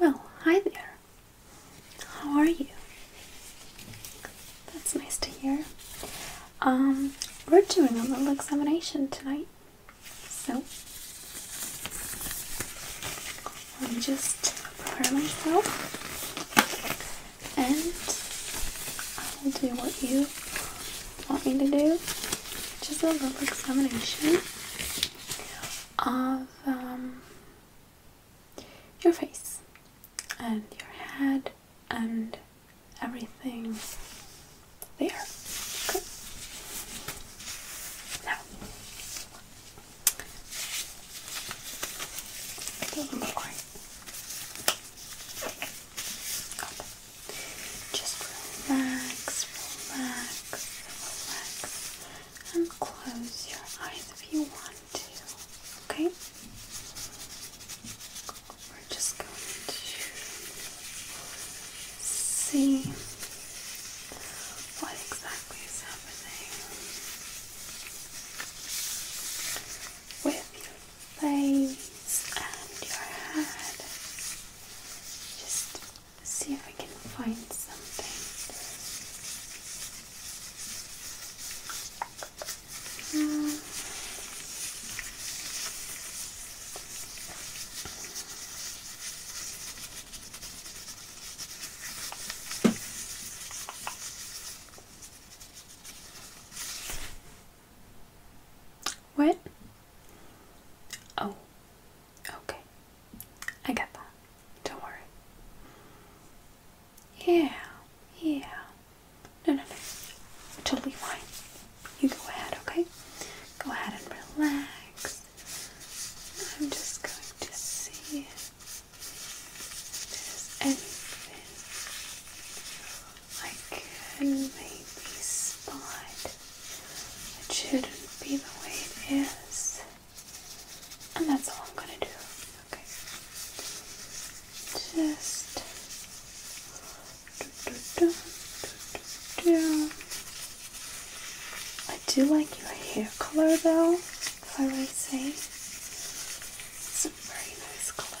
Well, hi there. How are you? That's nice to hear. Um, we're doing a little examination tonight. So, I'll just prepare myself and I will do what you want me to do, Just a little examination of um, your face and your head and everything there. Now, it does just relax, relax, relax, and close your eyes if you want to. Okay? We're just going to see what exactly is happening with your face and your head. Just Let's see if I can find something. Um, what? Oh, okay. I get that. Don't worry. Yeah, yeah. No, no, no. Totally fine. You go ahead, okay? Go ahead and relax. I'm just going to see if I could maybe spot it shouldn't be the way it is. And that's all I'm gonna do. Okay. Just do, do, do, do, do. I do like your hair color though, if I would say. It's a very nice color.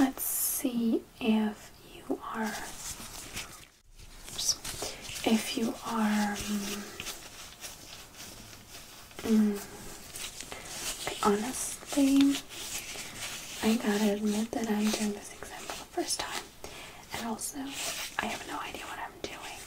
let's see if you are if you are um, honestly I gotta admit that I'm doing this exam for the first time. And also, I have no idea what I'm doing,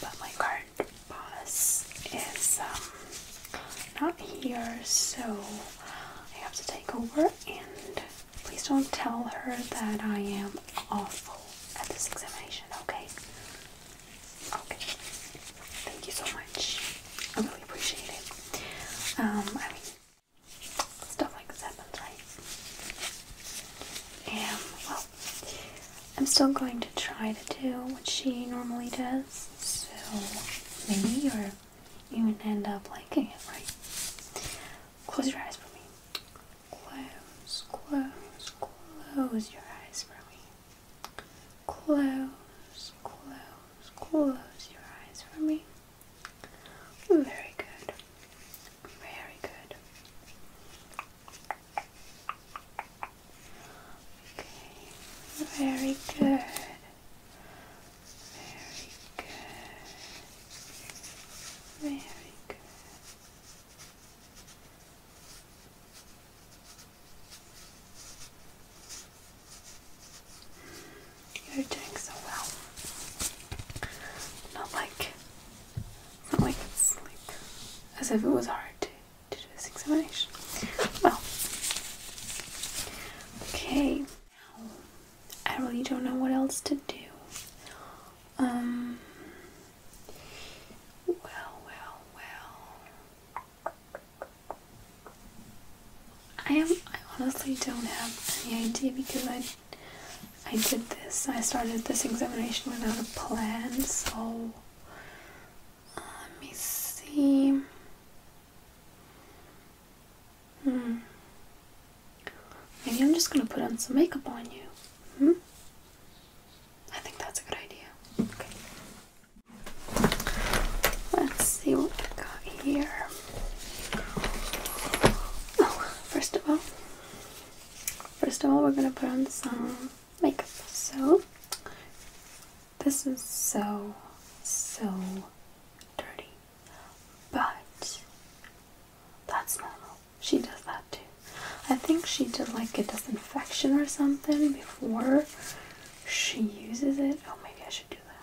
but my card boss is um, not here, so I have to take over. And please don't tell her that I am awful at this examination, okay? Okay. Thank you so much. I really appreciate it. Um, I Stuff like this happens, right? And, well, I'm still going to try to do what she normally does, so maybe you're even end up liking right? Close your eyes for me. Close, close, close your eyes for me. Close, close, close your eyes for me. Very good. Very good. Very good. Very good. Very good. You're doing so well. Not like, not like it's as if it was hard to, to do this examination. Well, okay. I really don't know what else to do. Um. Well, well, well. I am I honestly don't have any idea because I I did this I started this examination without a plan so let me see hmm maybe I'm just gonna put on some makeup on you hmm I think that's a good idea okay let's see what we got here Oh, first of all, first of all, we're gonna put on some makeup. So, this is so, so dirty, but that's normal. She does that too. I think she did like a disinfection or something before she uses it. Oh, maybe I should do that.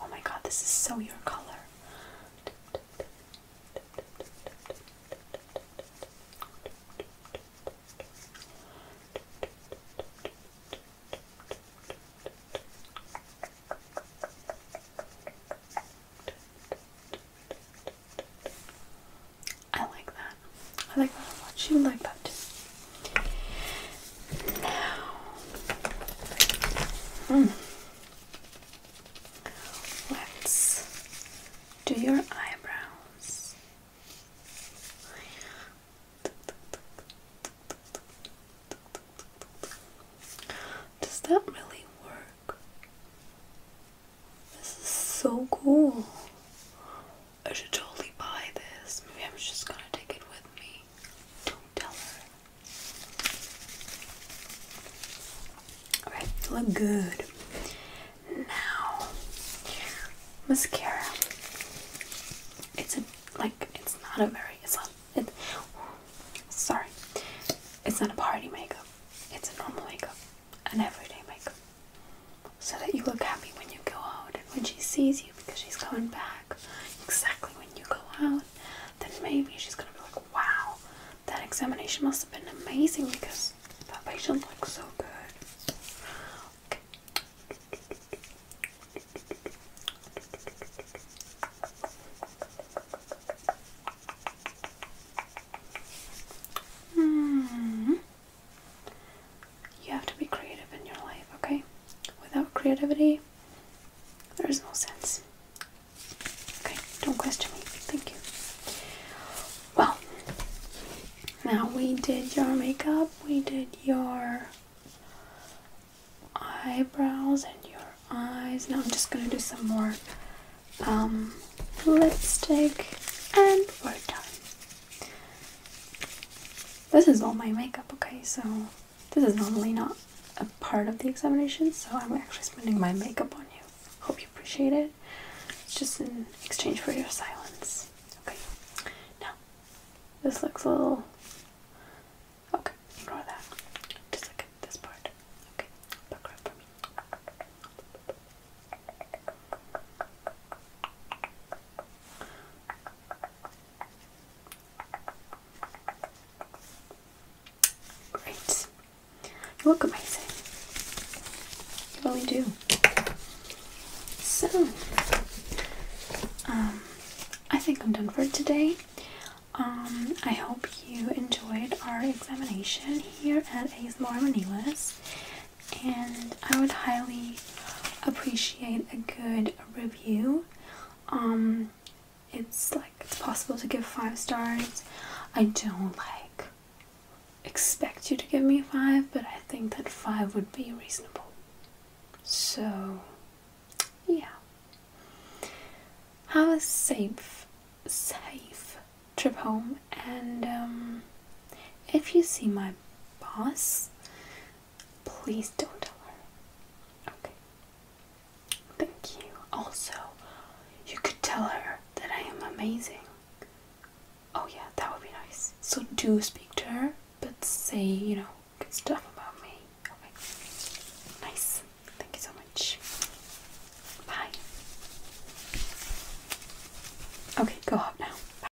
Oh my god, this is so your color. I like that. I like that a like that too. Now, mm. let's do your eyebrows. Does that really work? This is so cool. I should totally buy this. Maybe I'm just gonna take it with me. Don't tell her. Alright, look good. Now, mascara. It's a like it's not a very it's not sorry. It's not a party makeup. It's a normal makeup, an everyday makeup, so that you look happy when you go out and when she sees you because she's going back exactly when you go out, then maybe she's gonna be like, wow, that examination must have been amazing because that patient looks so good. -hmm you have to be creative in your life, okay? Without creativity, there is no sense. Okay, don't question me. Thank you. Well, now we did your makeup, we did your eyebrows and your eyes. Now I'm just gonna do some more um, lipstick, and we're done. This is all my makeup, okay? So this is normally not a part of the examination, so I'm actually spending my makeup on you. Hope you appreciate it. It's just in exchange for your silence. Okay. Now, this looks a little okay, ignore that. Just look at this part. Okay, back right for me. Great. You look amazing. You really do. So, um, I think I'm done for today. Um, I hope you enjoyed our examination here at ASMR Manilas, and I would highly appreciate a good a review. Um, it's like it's possible to give five stars. I don't like expect you to give me five, but I think that five would be reasonable. So, yeah. Have a safe, safe trip home, and um, if you see my boss, Please don't tell her. Okay. Thank you. Also, you could tell her that I am amazing. Oh, yeah, that would be nice. So, do speak to her, but say, you know, good stuff about me. Okay. Nice. Thank you so much. Bye. Okay, go up now. Bye.